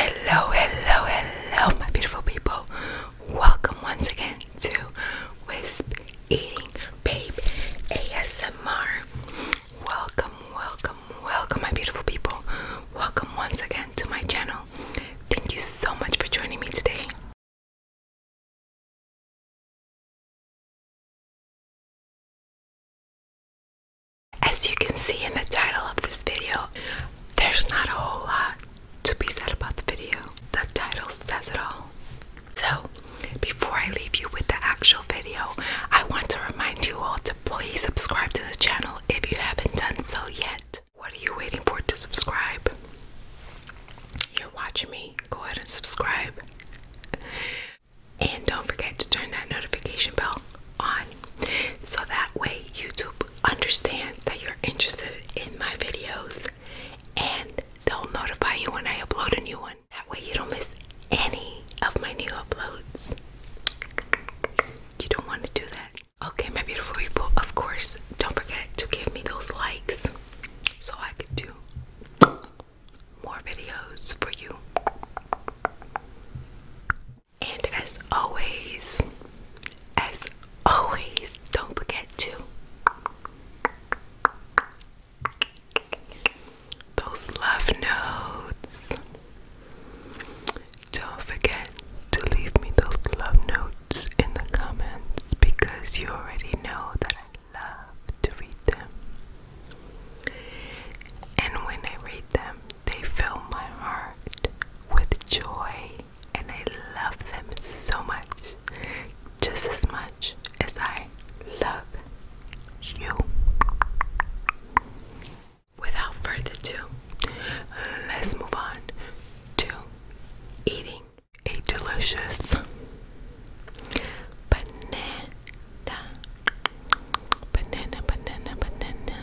Hello, hello, hello, my beautiful people. Welcome once again to Wisp Eating Babe ASMR. Welcome, welcome, welcome, my beautiful people. Welcome once again to my channel. Thank you so much for joining me today. As you can see in the title of this video, there's not a whole lot to be said about the video. The title says it all. So, before I leave you with the actual video, I want to remind you all to please subscribe to the channel if you haven't done so yet. What are you waiting for to subscribe? You're watching me. Go ahead and subscribe. And don't forget to turn that notification bell on so that way YouTube understands that you're interested in my videos and they'll notify you when I upload a new one. That way you don't miss any of my new uploads. You don't want to do that. Okay, my beautiful people, of course, don't forget to give me those likes so I can do more videos for you. And as always, as always, don't forget to those love notes. Don't forget to leave me those love notes in the comments because you already know that I love to read them. And when I read them, they fill my heart with joy, and I love them so much, just as much as I love you. Without further ado, let's move on to eating a delicious banana. Banana, banana, banana.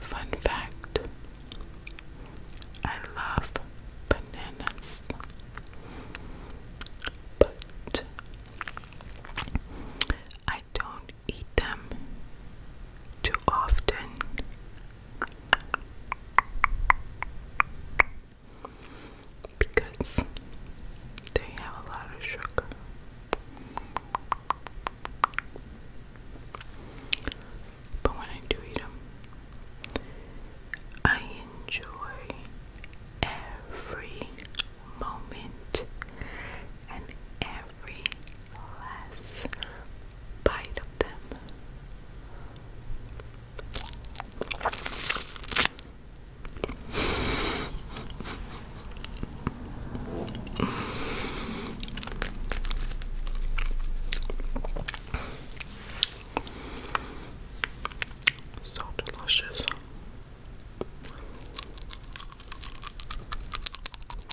Fun fact I love bananas, but I don't eat them too often. Because they have a lot of sugar. But when I do eat them, I enjoy every moment and every last bite of them. So delicious.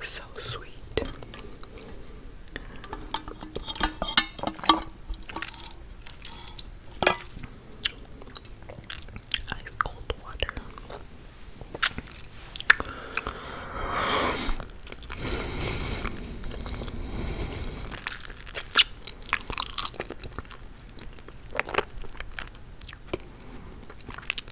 So sweet. Ice cold water.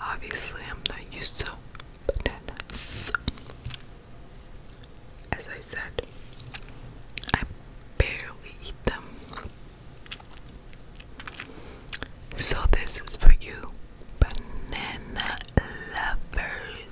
Obviously, I'm not used to bananas. As I said, I barely eat them. So, this is for you, banana lovers.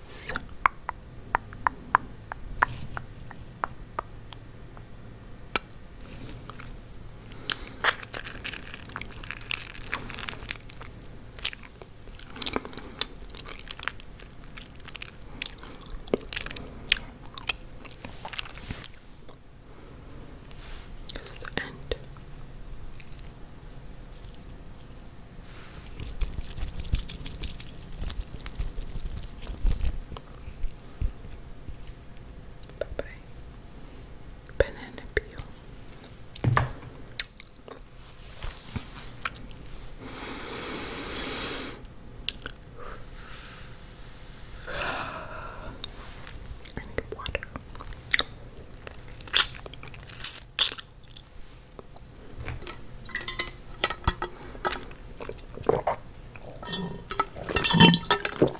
It's the end. Bye bye. Banana peel. I water.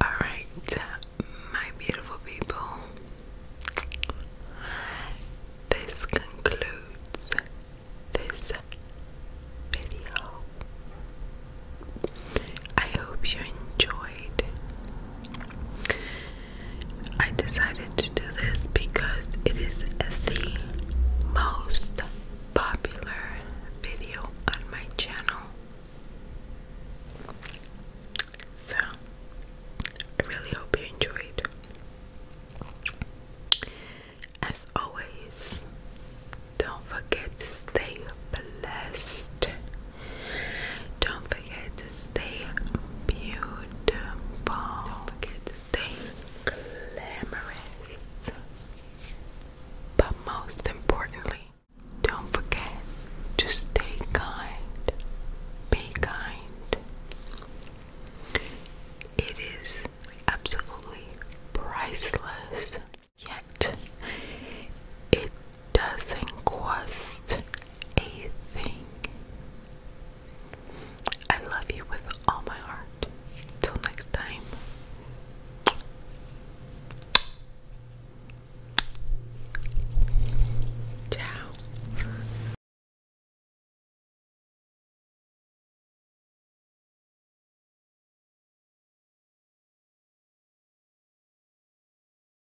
All right, my beautiful people, this concludes this video. I hope you enjoyed. I decided to do this because it is the most popular video on my channel. So, I really hope you enjoyed. As always, don't forget to stay blessed. Don't forget to stay beautiful. Don't forget to stay glamorous. But most importantly, don't forget to stay kind. Be kind. It is absolutely priceless, yet it doesn't cost a thing. I love you with all my heart. Till next time. Ciao.